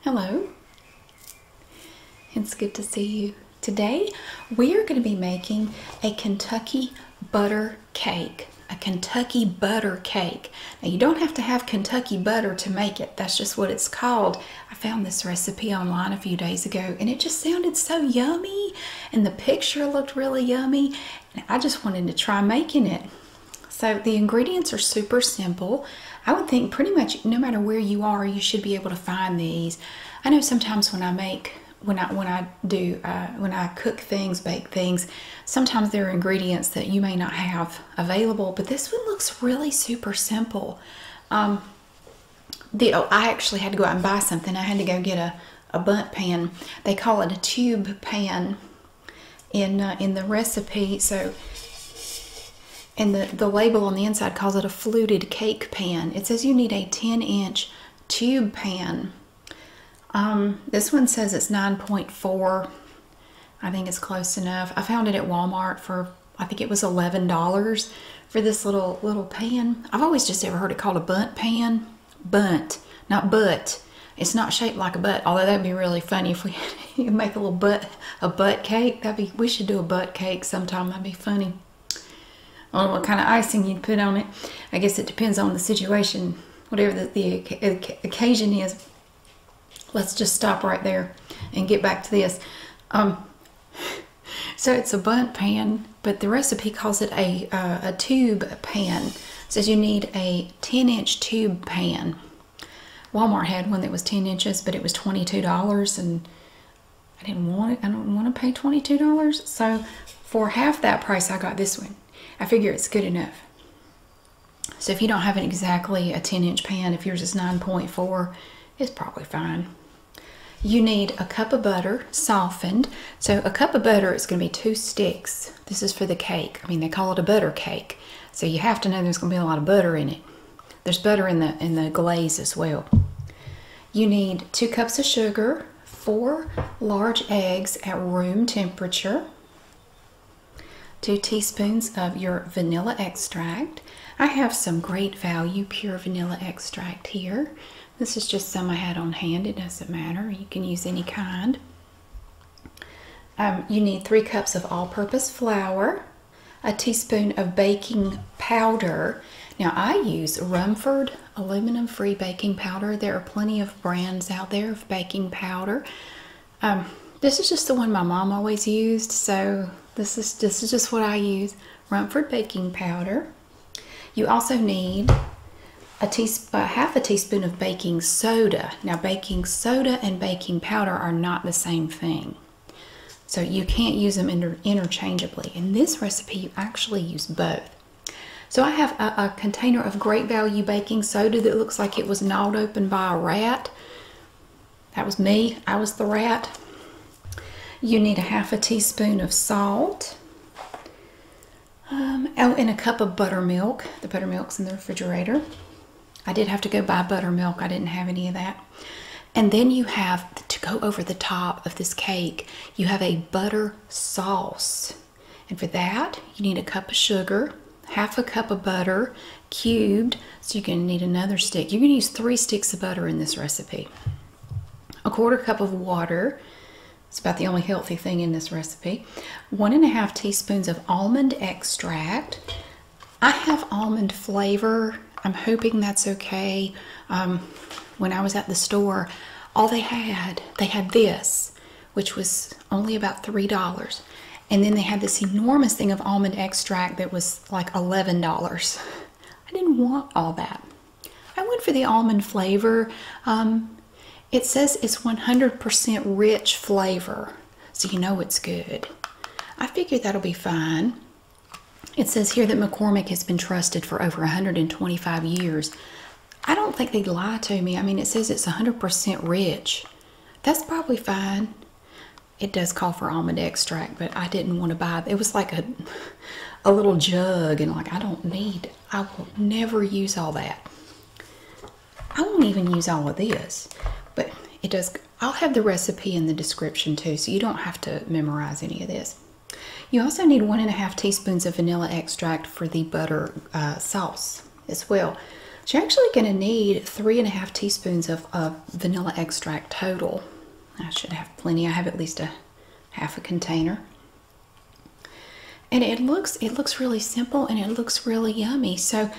Hello, it's good to see you. Today we are going to be making a Kentucky butter cake. A Kentucky butter cake. Now you don't have to have Kentucky butter to make it. That's just what it's called. I found this recipe online a few days ago and it just sounded so yummy and the picture looked really yummy and I just wanted to try making it. So the ingredients are super simple. I would think pretty much no matter where you are, you should be able to find these. I know sometimes when I make when I when I do uh, when I cook things, bake things, sometimes there are ingredients that you may not have available. But this one looks really super simple. Um, the, oh, I actually had to go out and buy something. I had to go get a a bunt pan. They call it a tube pan in uh, in the recipe. So and the, the label on the inside calls it a fluted cake pan. It says you need a 10 inch tube pan. Um, this one says it's 9.4. I think it's close enough. I found it at Walmart for, I think it was $11 for this little, little pan. I've always just ever heard it called a bunt pan. Bunt, not butt. It's not shaped like a butt, although that'd be really funny if we had you make a little butt a butt cake. That'd be we should do a butt cake sometime. That'd be funny. I don't know what kind of icing you'd put on it. I guess it depends on the situation, whatever the, the occasion is. Let's just stop right there and get back to this. Um, so it's a bunt pan, but the recipe calls it a, uh, a tube pan. says you need a 10 inch tube pan. Walmart had one that was 10 inches, but it was $22 and I didn't want it. I don't want to pay $22. So for half that price, I got this one. I figure it's good enough. So if you don't have an exactly a 10 inch pan, if yours is 9.4, it's probably fine. You need a cup of butter softened. So a cup of butter is going to be two sticks. This is for the cake. I mean, they call it a butter cake. So you have to know there's going to be a lot of butter in it. There's butter in the in the glaze as well. You need two cups of sugar, four large eggs at room temperature, two teaspoons of your vanilla extract. I have some great value pure vanilla extract here. This is just some I had on hand. It doesn't matter. You can use any kind. Um, you need three cups of all-purpose flour, a teaspoon of baking powder. Now I use Rumford aluminum free baking powder. There are plenty of brands out there of baking powder. Um, this is just the one my mom always used, so this is this is just what I use. Rumford baking powder. You also need a teaspoon, half a teaspoon of baking soda. Now baking soda and baking powder are not the same thing. So you can't use them interchangeably. In this recipe, you actually use both. So I have a, container of Great Value baking soda that looks like it was gnawed open by a rat. That was me. I was the rat. You need a half a teaspoon of salt. Um, oh, and a cup of buttermilk. The buttermilk's in the refrigerator. I did have to go buy buttermilk. I didn't have any of that. And then you have to go over the top of this cake, you have a butter sauce. And for that, you need a cup of sugar, half a cup of butter cubed. So you're going to need another stick. You're going to use three sticks of butter in this recipe. A quarter cup of water. It's about the only healthy thing in this recipe. One and a half teaspoons of almond extract. I have almond flavor. I'm hoping that's okay. Um, when I was at the store, all they had, they had this, which was only about $3. And then they had this enormous thing of almond extract that was like $11. I didn't want all that. I went for the almond flavor. Um, it says it's 100% rich flavor, so you know it's good. I figured that'll be fine. It says here that McCormick has been trusted for over 125 years. I don't think they lie to me. I mean, it says it's 100% rich. That's probably fine. It does call for almond extract, but I didn't want to buy it. was like a, a little jug, and like, I don't need, I will never use all that. I won't even use all of this, but it does I'll have the recipe in the description too, so you don't have to memorize any of this. You also need one and a half teaspoons of vanilla extract for the butter uh, sauce as well. So you're actually going to need three and a half teaspoons of vanilla extract total. I should have plenty. I have at least a half a container. And it looks it looks really simple and it looks really yummy. So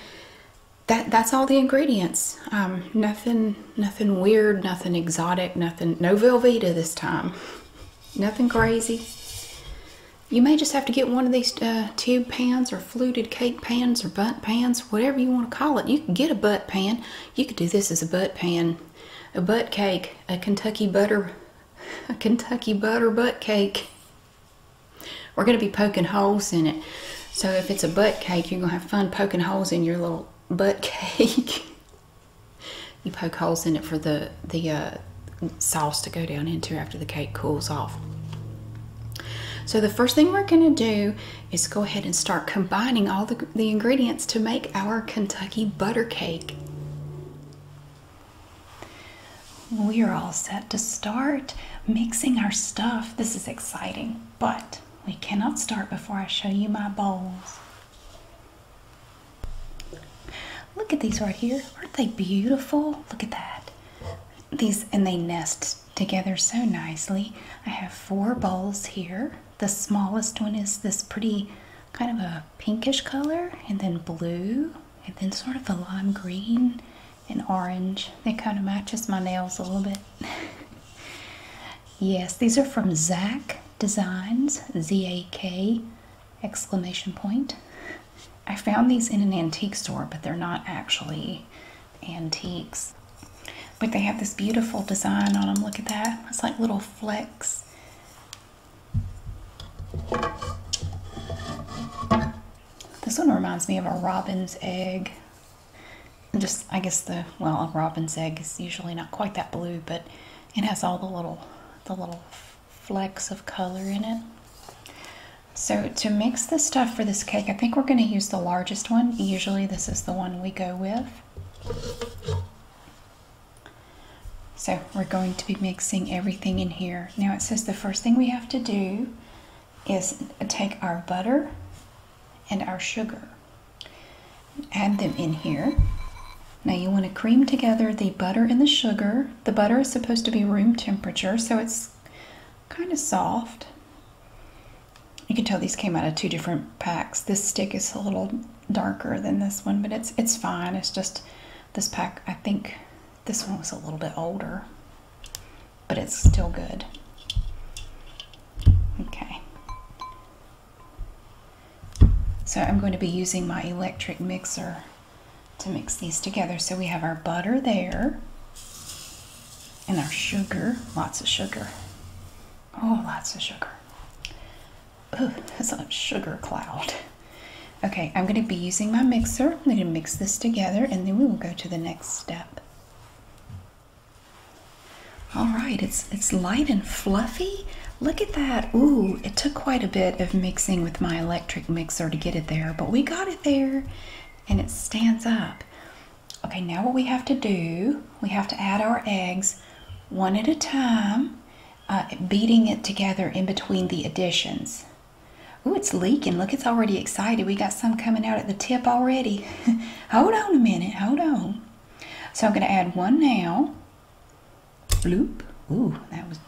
that that's all the ingredients. Um, nothing, nothing weird, nothing exotic, nothing. No Velveeta this time. Nothing crazy. You may just have to get one of these uh, tube pans or fluted cake pans or butt pans, whatever you want to call it. You can get a butt pan. You could do this as a butt pan, a butt cake, a Kentucky butter, a Kentucky butter butt cake. We're going to be poking holes in it. So if it's a butt cake, you're going to have fun poking holes in your little butt cake. you poke holes in it for the, the uh, sauce to go down into after the cake cools off. So the first thing we're going to do is go ahead and start combining all the, the ingredients to make our Kentucky butter cake. We are all set to start mixing our stuff. This is exciting but we cannot start before I show you my bowls. Look at these right here. Aren't they beautiful? Look at that. These and they nest together so nicely. I have four bowls here. The smallest one is this pretty kind of a pinkish color and then blue and then sort of a lime green and orange. That kind of matches my nails a little bit. Yes, these are from Zach Designs, Z A K exclamation point. I found these in an antique store, but they're not actually antiques. But they have this beautiful design on them. Look at that. It's like little flecks. This one reminds me of a robin's egg just, I guess the, well, a robin's egg is usually not quite that blue, but it has all the little, the little flecks of color in it. So to mix the stuff for this cake, I think we're going to use the largest one. Usually this is the one we go with. So we're going to be mixing everything in here. Now it says the first thing we have to do is take our butter and our sugar. Add them in here. Now you want to cream together the butter and the sugar. The butter is supposed to be room temperature, so it's kind of soft. You can tell these came out of two different packs. This stick is a little darker than this one, but it's it's fine. It's just this pack, I think this one was a little bit older, but it's still good. Okay. So I'm going to be using my electric mixer to mix these together. So we have our butter there and our sugar, lots of sugar. Oh, lots of sugar. Oh, that's a sugar cloud. Okay, I'm going to be using my mixer. I'm going to mix this together and then we will go to the next step. All right, it's it's light and fluffy. Look at that. Ooh, it took quite a bit of mixing with my electric mixer to get it there, but we got it there and it stands up. Okay, now what we have to do, we have to add our eggs one at a time, uh, beating it together in between the additions. Ooh, it's leaking. Look, it's already excited. We got some coming out at the tip already. hold on a minute. Hold on. So I'm going to add one now. Bloop. Ooh, that was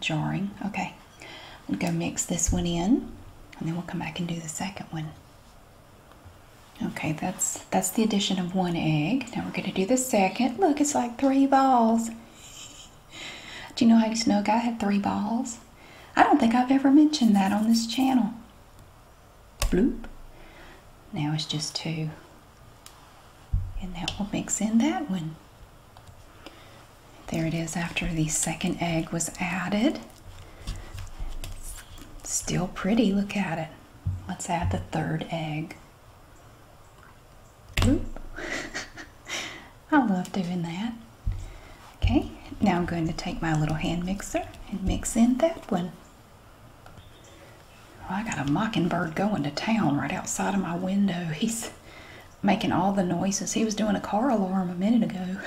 jarring. Okay. I'm going to go mix this one in and then we'll come back and do the second one. Okay, that's that's the addition of one egg. Now we're going to do the second. Look, it's like three balls. do you know how you snuck? I had three balls. I don't think I've ever mentioned that on this channel bloop. Now it's just two. And that will mix in that one. There it is after the second egg was added. still pretty, look at it. Let's add the third egg. Bloop. I love doing that. Okay, now I'm going to take my little hand mixer and mix in that one. Oh, I got a mockingbird going to town right outside of my window. He's making all the noises. He was doing a car alarm a minute ago.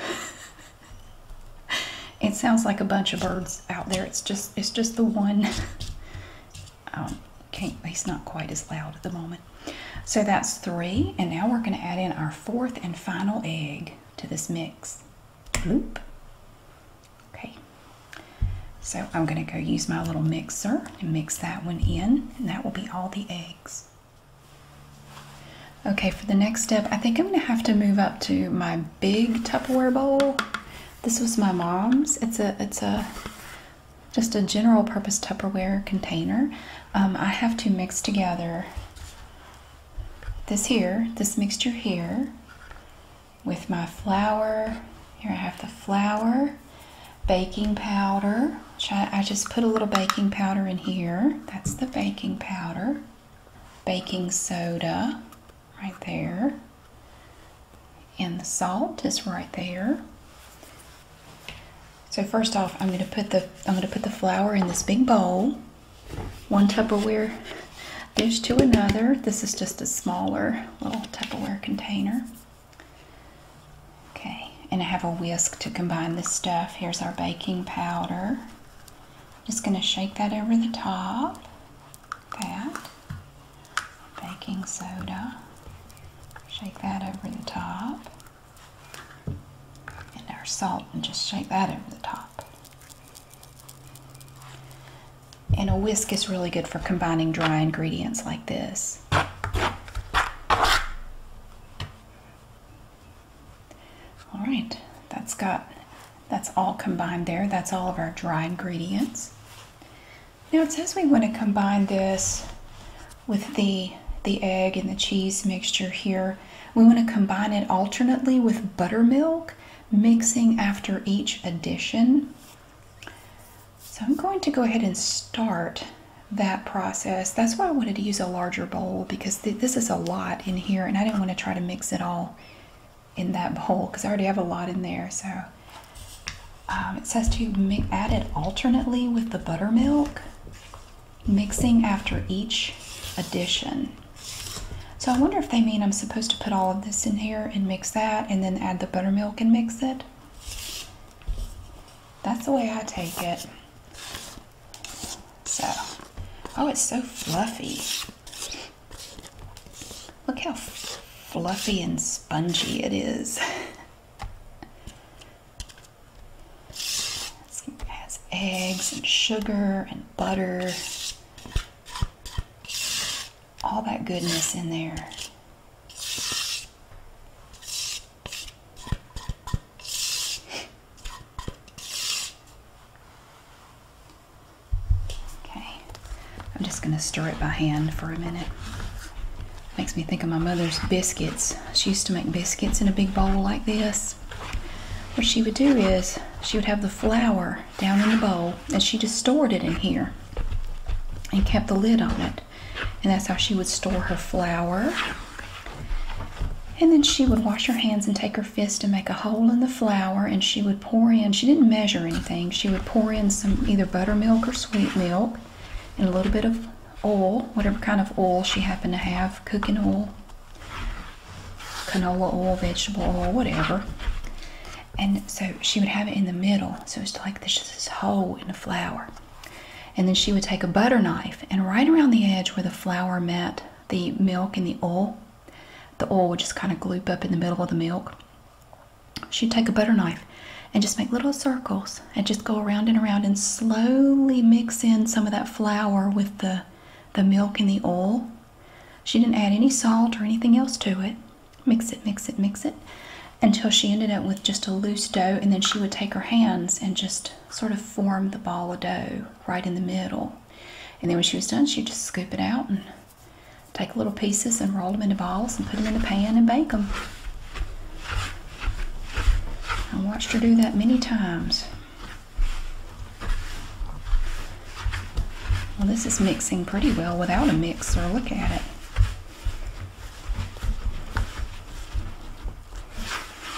it sounds like a bunch of birds out there. It's just it's just the one. um, not he's not quite as loud at the moment. So that's three, and now we're going to add in our fourth and final egg to this mix. Bloop. Okay, so I'm going to go use my little mixer and mix that one in, and that will be all the eggs. Okay, for the next step, I think I'm going to have to move up to my big Tupperware bowl. This was my mom's. It's a it's a just a general purpose Tupperware container. Um, I have to mix together this here, this mixture here, with my flour. Here I have the flour, baking powder. I just put a little baking powder in here. That's the baking powder. Baking soda right there. And the salt is right there. So first off, I'm going to put the I'm going to put the flour in this big bowl one Tupperware dish to another. This is just a smaller little Tupperware container. Okay, and I have a whisk to combine this stuff. Here's our baking powder. Just going to shake that over the top. That. Baking soda. Shake that over the top. And our salt, and just shake that over the top. And a whisk is really good for combining dry ingredients like this. All right, that's got, that's all combined there. That's all of our dry ingredients. Now it says we want to combine this with the, the egg and the cheese mixture here. We want to combine it alternately with buttermilk mixing after each addition. So I'm going to go ahead and start that process. That's why I wanted to use a larger bowl because this is a lot in here and I do not want to try to mix it all in that bowl because I already have a lot in there. So um, it says to add it alternately with the buttermilk, mixing after each addition. So I wonder if they mean I'm supposed to put all of this in here and mix that and then add the buttermilk and mix it. That's the way I take it. So, oh, it's so fluffy. Look how fluffy and spongy it is. it has eggs and sugar and butter all that goodness in there. Okay, I'm just going to stir it by hand for a minute. Makes me think of my mother's biscuits. She used to make biscuits in a big bowl like this. What she would do is she would have the flour down in the bowl and she just stored it in here and kept the lid on it. And that's how she would store her flour. And then she would wash her hands and take her fist and make a hole in the flour and she would pour in, she didn't measure anything, she would pour in some either buttermilk or sweet milk and a little bit of oil, whatever kind of oil she happened to have, cooking oil, canola oil, vegetable oil, whatever and so she would have it in the middle so it's like this, this hole in the flour. and then she would take a butter knife and right around the edge where the flour met the milk and the oil the oil would just kind of glue up in the middle of the milk she'd take a butter knife and just make little circles and just go around and around and slowly mix in some of that flour with the the milk and the oil she didn't add any salt or anything else to it. Mix it, mix it, mix it until she ended up with just a loose dough, and then she would take her hands and just sort of form the ball of dough right in the middle. And then when she was done, she'd just scoop it out and take little pieces and roll them into balls and put them in the pan and bake them. I watched her do that many times. Well, this is mixing pretty well without a mixer. Look at it.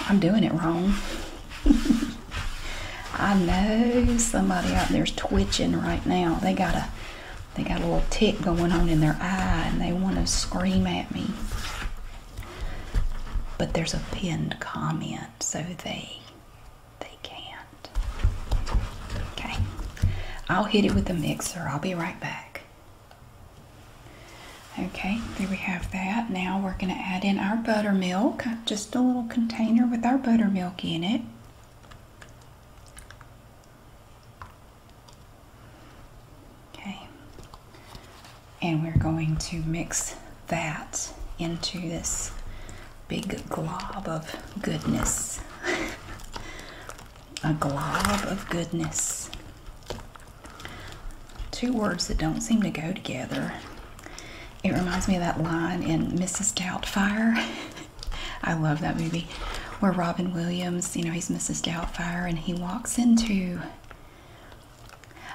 I'm doing it wrong. I know somebody out there's twitching right now. They got a they got a little tick going on in their eye and they want to scream at me. But there's a pinned comment, so they they can't. Okay. I'll hit it with the mixer. I'll be right back. Okay, there we have that. Now we're going to add in our buttermilk. Just a little container with our buttermilk in it. Okay. And we're going to mix that into this big glob of goodness. a glob of goodness. Two words that don't seem to go together. It reminds me of that line in Mrs. Doubtfire. I love that movie where Robin Williams, you know, he's Mrs. Doubtfire and he walks into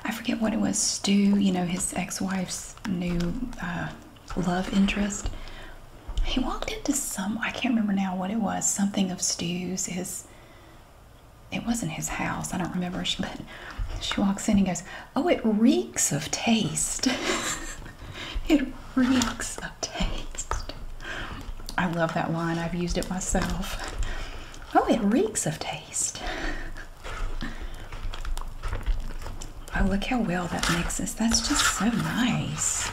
I forget what it was, Stu, you know, his ex-wife's new uh, love interest. He walked into some, I can't remember now what it was, something of Stew's is. it wasn't his house, I don't remember, but she walks in and goes, Oh, it reeks of taste. it reeks of taste. I love that line, I've used it myself. Oh, it reeks of taste. Oh, look how well that mixes. That's just so nice.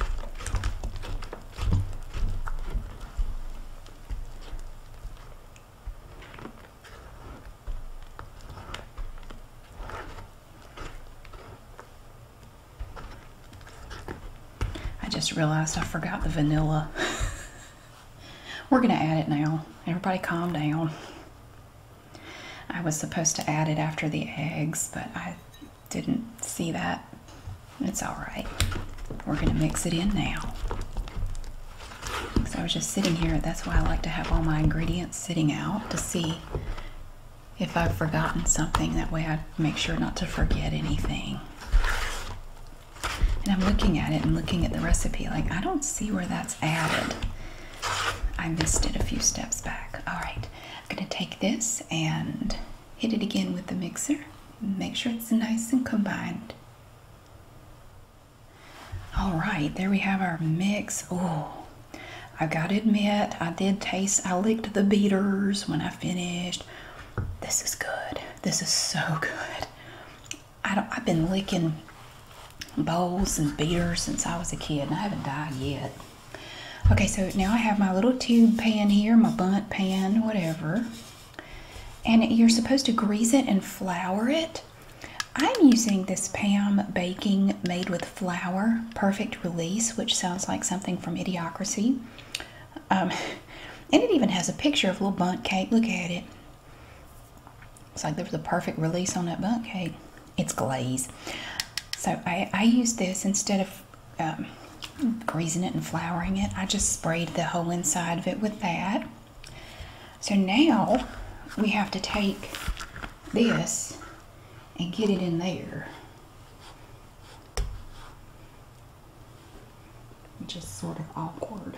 I just realized I forgot the vanilla. We're going to add it now. Everybody calm down. I was supposed to add it after the eggs, but I didn't see that. It's all right. We're going to mix it in now. Because I was just sitting here. That's why I like to have all my ingredients sitting out to see if I've forgotten something. That way I make sure not to forget anything. And I'm looking at it and looking at the recipe like, I don't see where that's added. I missed it a few steps back. All right. I'm going to take this and hit it again with the mixer. Make sure it's nice and combined. All right, there we have our mix. Oh, I gotta admit, I did taste, I licked the beaters when I finished. This is good. This is so good. I don't, I've been licking bowls and beaters since I was a kid and I haven't died yet. Okay, so now I have my little tube pan here, my bunt pan, whatever. And you're supposed to grease it and flour it. I'm using this Pam Baking Made with Flour Perfect Release, which sounds like something from Idiocracy. Um, and it even has a picture of a little bunt cake. Look at it. It's like there was a perfect release on that bunt cake it's glaze. So I, use this instead of um, greasing it and flouring it. I just sprayed the whole inside of it with that. So now we have to take this and get it in there. Which is sort of awkward.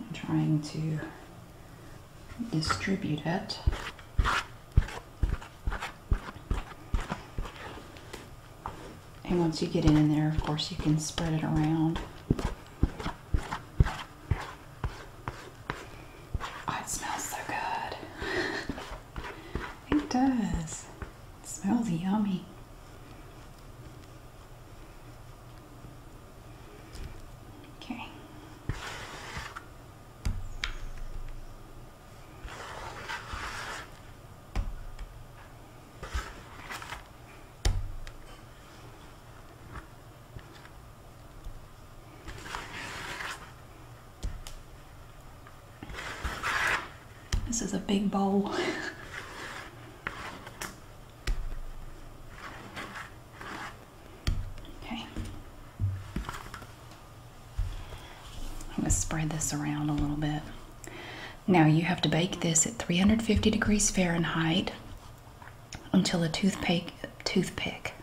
I'm trying to distribute it. And once you get it in there, of course, you can spread it around. Oh, it smells so good. it does. smells yummy. Okay. This is a big bowl. Okay. I'm going to spread this around a little bit. Now you have to bake this at 350 degrees Fahrenheit until a toothpick toothpick.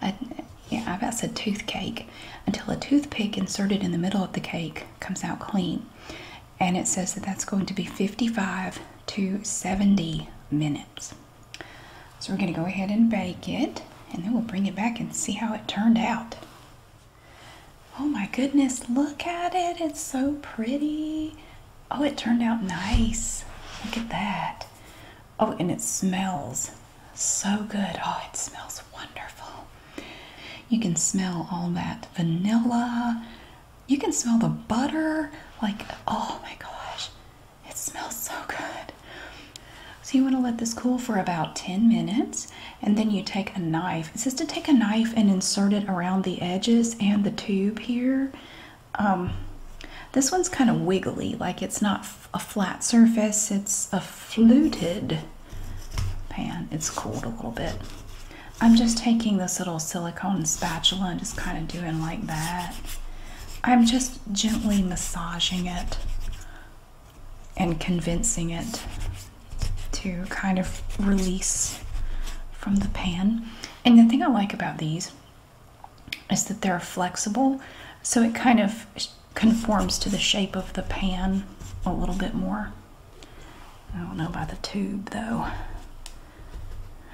I, uh, yeah, I've about said toothcake until a toothpick inserted in the middle of the cake comes out clean and it says that that's going to be 55 to 70 minutes. So we're going to go ahead and bake it and then we'll bring it back and see how it turned out. Oh my goodness, look at it. It's so pretty. Oh, it turned out nice. Look at that. Oh, and it smells so good. Oh, it smells wonderful. You can smell all that vanilla, you can smell the butter. Like, oh my gosh, it smells so good. So, you want to let this cool for about 10 minutes and then you take a knife. It says to take a knife and insert it around the edges and the tube here. Um, this one's kind of wiggly, like it's not a flat surface, it's a fluted pan. It's cooled a little bit. I'm just taking this little silicone spatula and just kind of doing like that. I'm just gently massaging it and convincing it to kind of release from the pan. And the thing I like about these is that they're flexible, so it kind of conforms to the shape of the pan a little bit more. I don't know about the tube though.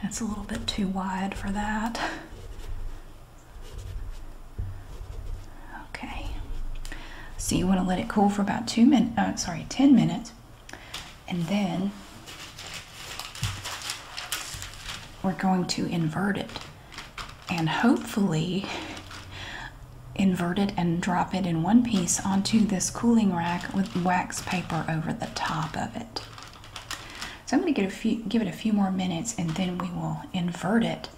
It's a little bit too wide for that. Okay. So you want to let it cool for about two minutes, oh, sorry, 10 minutes. And then we're going to invert it and hopefully invert it and drop it in one piece onto this cooling rack with wax paper over the top of it. So I'm going to give it a few more minutes and then we will invert it.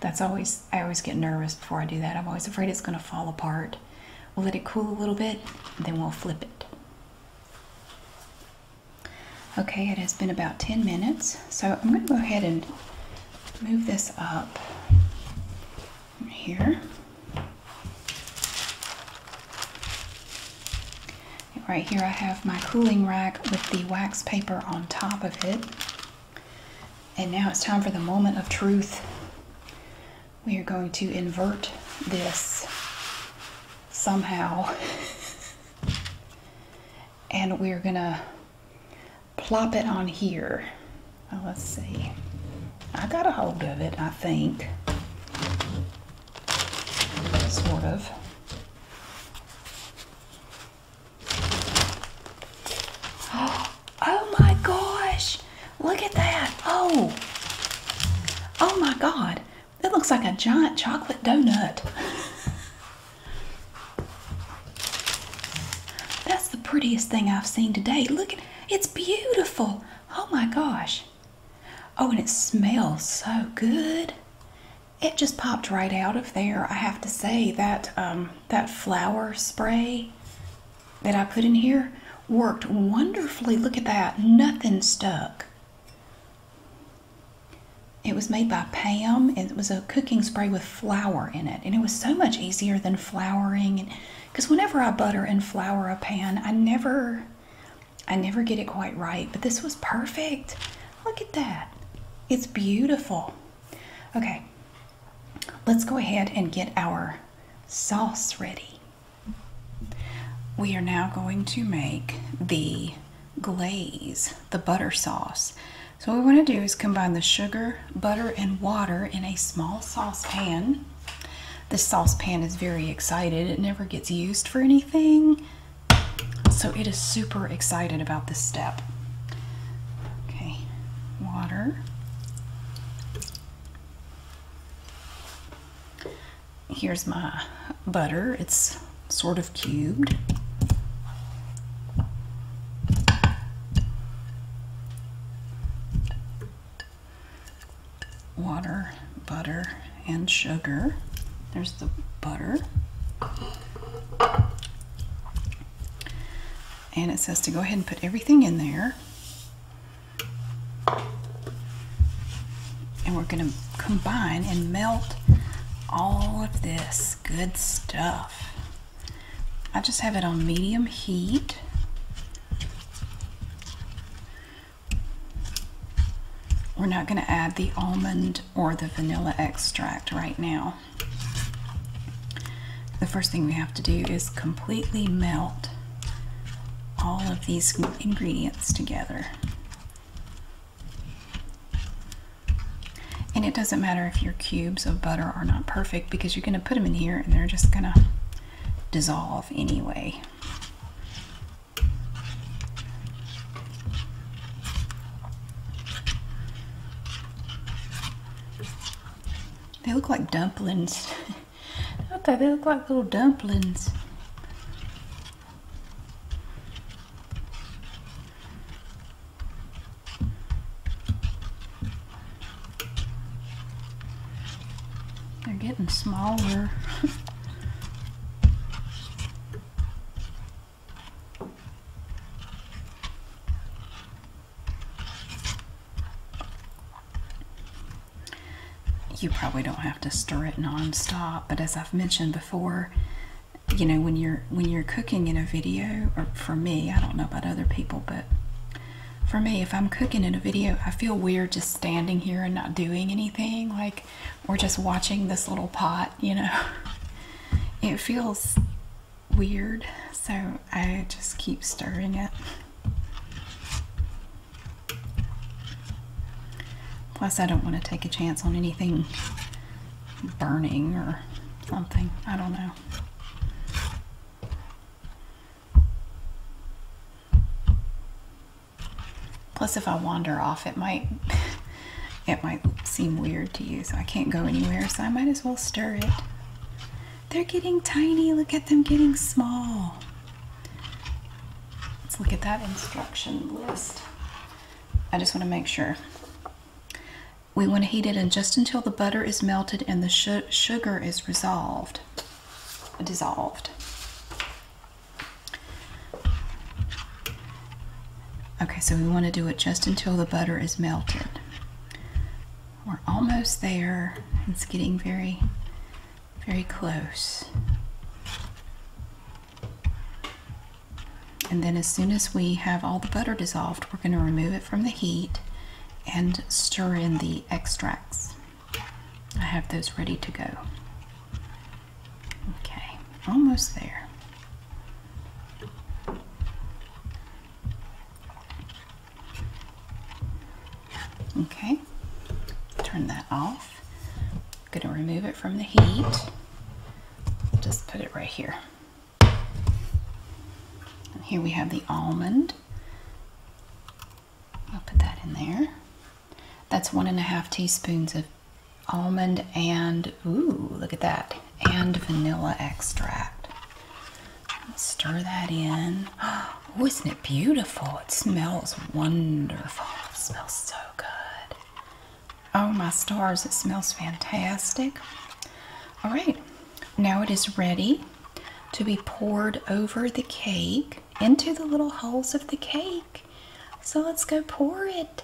That's always, I always get nervous before I do that. I'm always afraid it's going to fall apart. We'll let it cool a little bit, then we'll flip it. Okay, it has been about 10 minutes. So I'm going to go ahead and move this up here right here I have my cooling rack with the wax paper on top of it. And now it's time for the moment of truth. We are going to invert this somehow. and we're gonna plop it on here. Well, oh, let's see. I got a hold of it, I think. Sort of. Oh my gosh! Look at that! Oh! Oh my god! It looks like a giant chocolate donut. That's the prettiest thing I've seen today. Look, it's beautiful. Oh my gosh. Oh, and it smells so good. It just popped right out of there. I have to say that um, that flour spray that I put in here worked wonderfully. Look at that. Nothing stuck. It was made by Pam. It was a cooking spray with flour in it. And it was so much easier than flouring. And Because whenever I butter and flour a pan, I never I never get it quite right, but this was perfect. Look at that. It's beautiful. Okay, let's go ahead and get our sauce ready. We are now going to make the glaze, the butter sauce. So what we want to do is combine the sugar, butter, and water in a small saucepan. This saucepan is very excited. It never gets used for anything. So it is super excited about this step. Okay, water. Here's my butter. It's sort of cubed water, butter, and sugar. There's the butter. And it says to go ahead and put everything in there. And we're going to combine and melt all of this good stuff. I just have it on medium heat. We're not going to add the almond or the vanilla extract right now. The first thing we have to do is completely melt all of these ingredients together. And it doesn't matter if your cubes of butter are not perfect because you're going to put them in here and they're just going to dissolve anyway. They look like dumplings. okay, they look like little dumplings. They're getting smaller. you probably don't have to stir it nonstop, but as I've mentioned before, you know, when you're when you're cooking in a video, or for me, I don't know about other people, but for me, if I'm cooking in a video, I feel weird just standing here and not doing anything. Like or just watching this little pot, you know. It feels weird, so I just keep stirring it. Plus, I don't want to take a chance on anything burning or something. I don't know. Plus, if I wander off, it might it might seem weird to you, so I can't go anywhere. So I might as well stir it. They're getting tiny. Look at them getting small. Let's look at that instruction list. I just want to make sure. We want to heat it in just until the butter is melted and the sugar is resolved, dissolved. Okay, so we want to do it just until the butter is melted. We're almost there. It's getting very, very close. And then as soon as we have all the butter dissolved, we're going to remove it from the heat and stir in the extracts. I have those ready to go. Okay, almost there. Okay, turn that off. going to remove it from the heat. Just put it right here. here we have the almond. I'll put that in there. That's one and a half teaspoons of almond and, ooh, look at that, and vanilla extract. Stir that in. Oh, isn't it beautiful? It smells wonderful. It smells so good. Oh, my stars, it smells fantastic. All right, now it is ready to be poured over the cake into the little holes of the cake. So let's go pour it.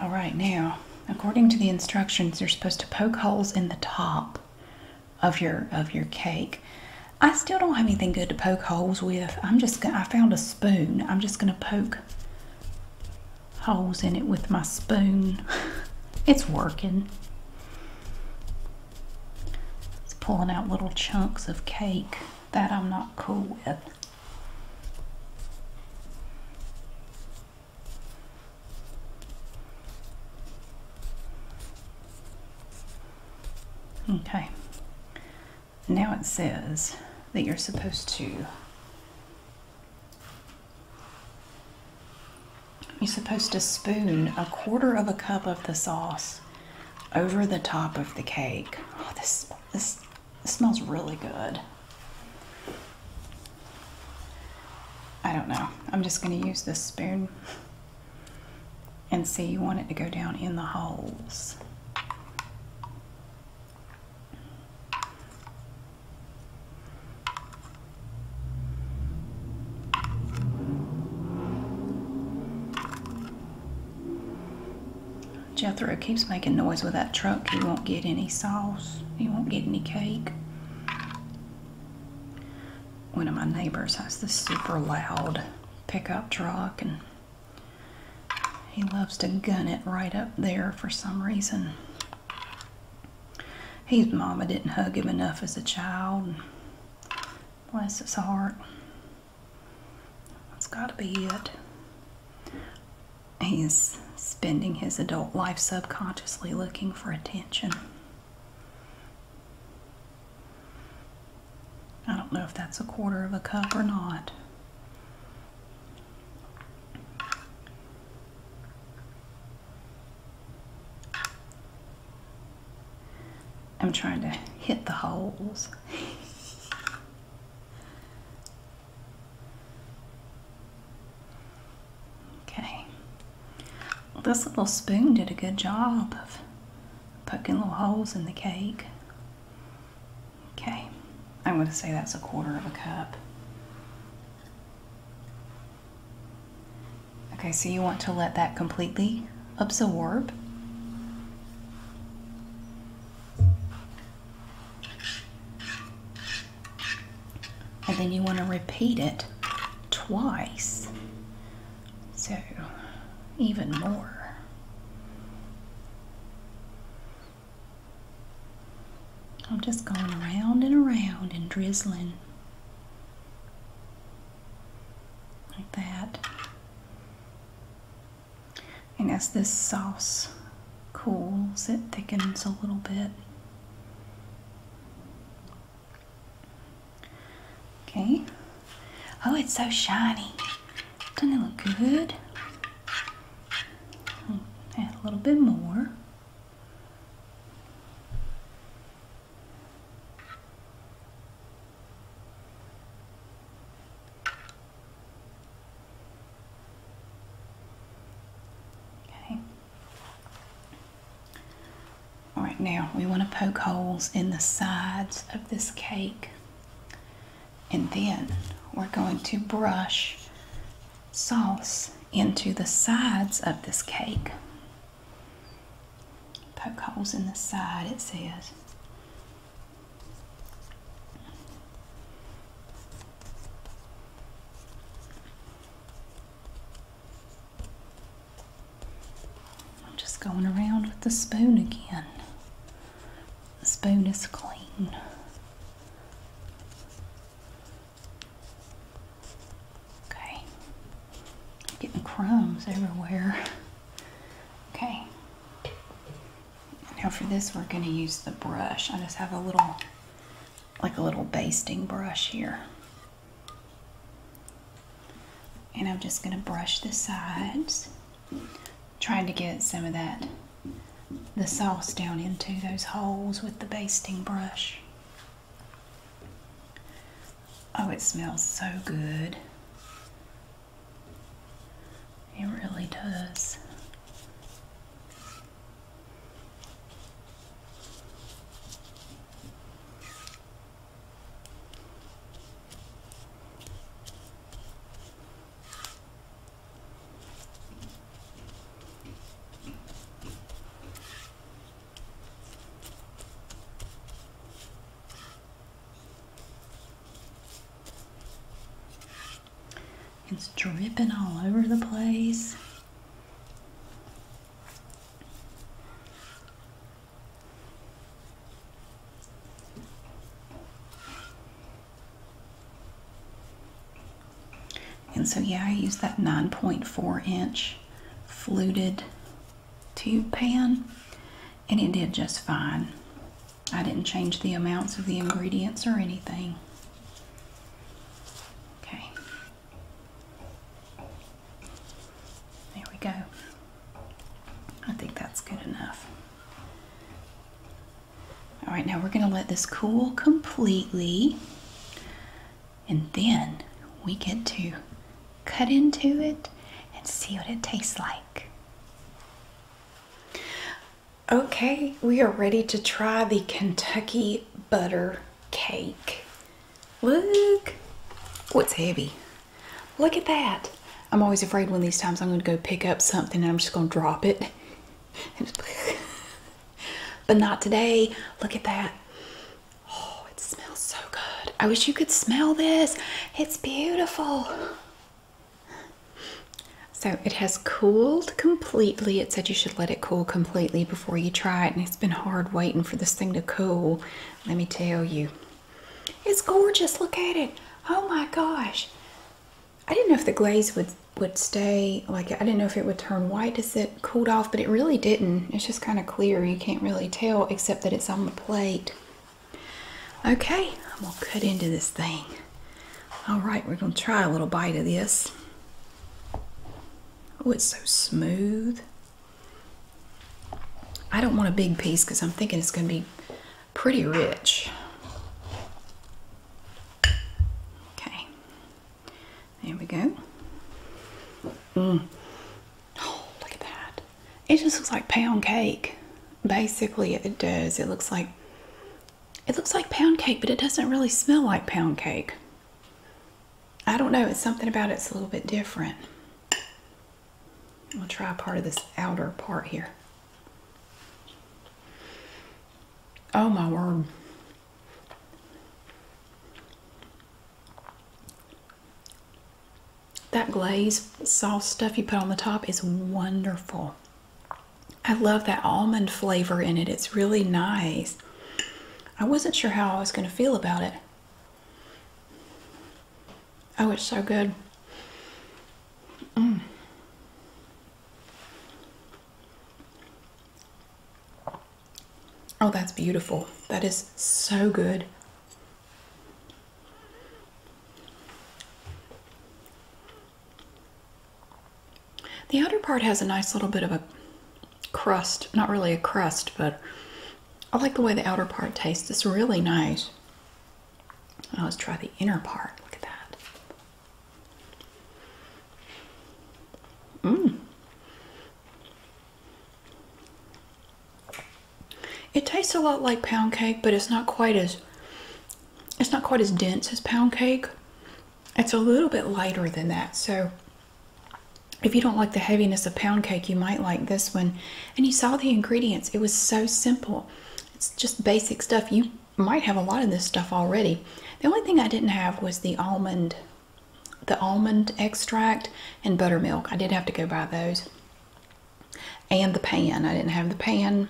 All right, now, according to the instructions, you're supposed to poke holes in the top of your of your cake. I still don't have anything good to poke holes with. I'm just gonna, I found a spoon. I'm just gonna poke holes in it with my spoon. it's working. It's pulling out little chunks of cake. That I'm not cool with. Okay. Now it says that you're supposed to you're supposed to spoon a quarter of a cup of the sauce over the top of the cake. Oh, this, this, this smells really good. I don't know. I'm just going to use this spoon and see you want it to go down in the holes. Jethro keeps making noise with that truck. He won't get any sauce. He won't get any cake. One of my neighbors has this super loud pickup truck and he loves to gun it right up there for some reason. His mama didn't hug him enough as a child. Bless his heart. That's got to be it. He's spending his adult life subconsciously looking for attention. I don't know if that's a quarter of a cup or not. I'm trying to hit the holes. okay. This little spoon did a good job of poking little holes in the cake. Okay. I'm going to say that's a quarter of a cup. Okay, so you want to let that completely absorb. And then you want to repeat it twice. So even more. I'm just going around and around and drizzling like that. And as this sauce cools, it thickens a little bit. Okay. Oh, it's so shiny. Doesn't it look good? Hmm, add a little bit more. Okay. All right, now we want to poke holes in the sides of this cake. And then we're going to brush sauce into the sides of this cake. Poke holes in the side, it says. I'm just going around with the spoon again. The spoon is clean. Okay. getting crumbs everywhere. Okay. Now for this we're going to use the brush. I just have a little, like a little basting brush here. And I'm just going to brush the sides, trying to get some of that, the sauce down into those holes with the basting brush. Oh, it smells so good. It really does. It's dripping all over the place. And so, yeah, I used that 9.4 inch fluted tube pan, and it did just fine. I didn't change the amounts of the ingredients or anything. Okay. There we go. I think that's good enough. All right, now we're going to let this cool completely. And then we get to cut into it and see what it tastes like. Okay, we are ready to try the Kentucky butter cake. Look, what's oh, heavy. Look at that. I'm always afraid when these times I'm going to go pick up something and I'm just going to drop it. but not today. Look at that. Oh, it smells so good. I wish you could smell this. It's beautiful. So it has cooled completely. It said you should let it cool completely before you try it, and it's been hard waiting for this thing to cool. Let me tell you, it's gorgeous. Look at it. Oh my gosh. I didn't know if the glaze would would stay like I didn't know if it would turn white as it cooled off, but it really didn't. It's just kind of clear. You can't really tell except that it's on the plate. Okay, I'm gonna cut into this thing. All right, we're gonna try a little bite of this. Oh, it's so smooth. I don't want a big piece because I'm thinking it's gonna be pretty rich. Okay, there we go. Mm. Oh, look at that. It just looks like pound cake basically it does it looks like it looks like pound cake but it doesn't really smell like pound cake i don't know it's something about it's a little bit different i'll try part of this outer part here oh my word that glaze sauce stuff you put on the top is wonderful I love that almond flavor in it. It's really nice. I wasn't sure how I was going to feel about it. Oh, it's so good. Mm. Oh, that's beautiful. That is so good. The outer part has a nice little bit of a crust, not really a crust, but I like the way the outer part tastes. It's really nice. Now let's try the inner part. Look at that. Mmm. It tastes a lot like pound cake, but it's not quite as it's not quite as dense as pound cake. It's a little bit lighter than that. So if you don't like the heaviness of pound cake, you might like this one. And you saw the ingredients. It was so simple. It's just basic stuff. You might have a lot of this stuff already. The only thing I didn't have was the almond, the almond extract and buttermilk. I did have to go buy those. And the pan. I didn't have the pan.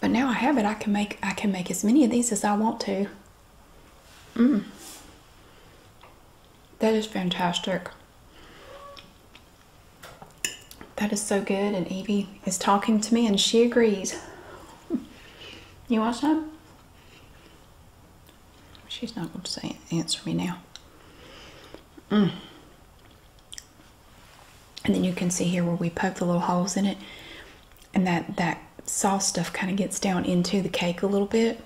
But now I have it. I can make I can make as many of these as I want to. Mm. That is fantastic. That is so good. And Evie is talking to me and she agrees. You want some? She's not going to say, answer me now. Mm and then you can see here where we poke the little holes in it and that that sauce stuff kind of gets down into the cake a little bit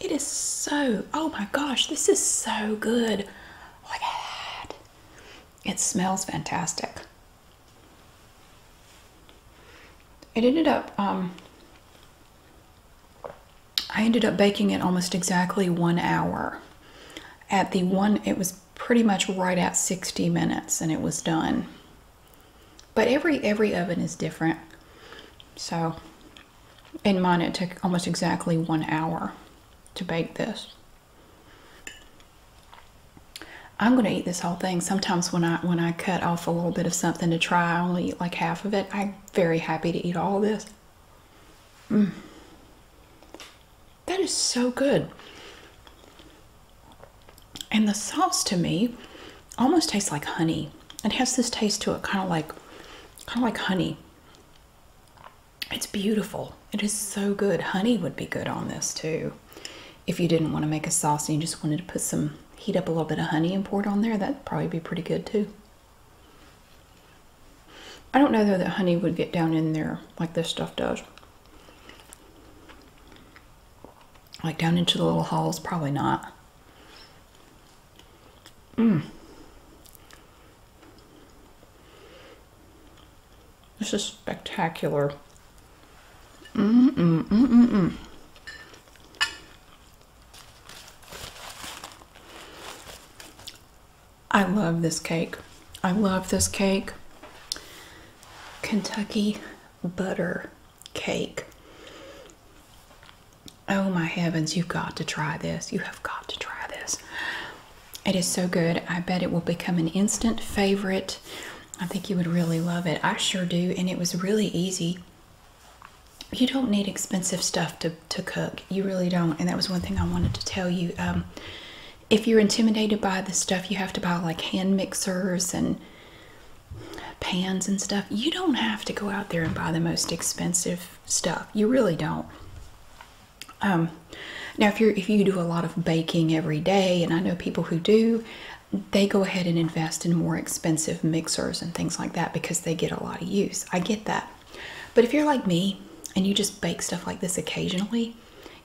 it is so oh my gosh this is so good look at that it smells fantastic it ended up um, i ended up baking it almost exactly one hour at the one it was pretty much right at 60 minutes and it was done. But every every oven is different. So in mine it took almost exactly one hour to bake this. I'm gonna eat this whole thing. Sometimes when I when I cut off a little bit of something to try, I only eat like half of it. I'm very happy to eat all this. Mm. That is so good. And the sauce to me almost tastes like honey. It has this taste to it, kind of like kind of like honey. It's beautiful. It is so good. Honey would be good on this too. If you didn't want to make a sauce and you just wanted to put some heat up a little bit of honey and pour it on there, that'd probably be pretty good too. I don't know though that honey would get down in there like this stuff does. Like down into the little holes, probably not. Mm. This is spectacular. I love this cake. I love this cake. Kentucky butter cake. Oh my heavens, you've got to try this. You have got to try this. It is so good. I bet it will become an instant favorite. I think you would really love it. I sure do, and it was really easy. You don't need expensive stuff to, to cook. You really don't. And that was one thing I wanted to tell you. Um, if you're intimidated by the stuff you have to buy, like hand mixers and pans and stuff, you don't have to go out there and buy the most expensive stuff. You really don't. Um, now, if you are if you do a lot of baking every day, and I know people who do, they go ahead and invest in more expensive mixers and things like that because they get a lot of use. I get that. But if you're like me and you just bake stuff like this occasionally,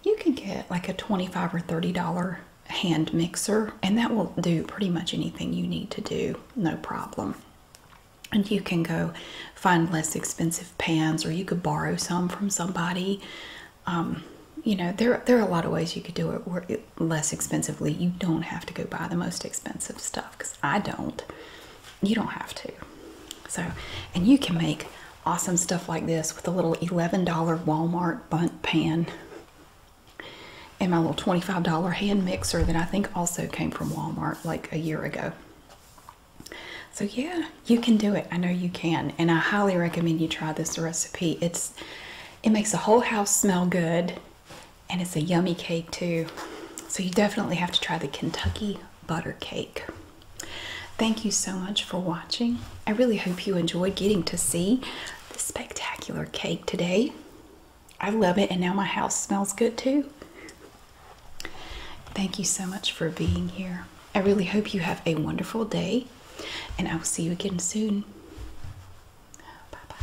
you can get like a 25 or 30 dollar hand mixer and that will do pretty much anything you need to do no problem and you can go find less expensive pans or you could borrow some from somebody um, you know there, there are a lot of ways you could do it less expensively you don't have to go buy the most expensive stuff because i don't you don't have to so and you can make awesome stuff like this with a little $11 Walmart bunt pan and my little $25 hand mixer that I think also came from Walmart like a year ago. So yeah, you can do it. I know you can. And I highly recommend you try this recipe. It's it makes the whole house smell good and it's a yummy cake too. So you definitely have to try the Kentucky butter cake. Thank you so much for watching. I really hope you enjoyed getting to see the spectacular cake today. I love it, and now my house smells good too. Thank you so much for being here. I really hope you have a wonderful day, and I will see you again soon. Bye bye.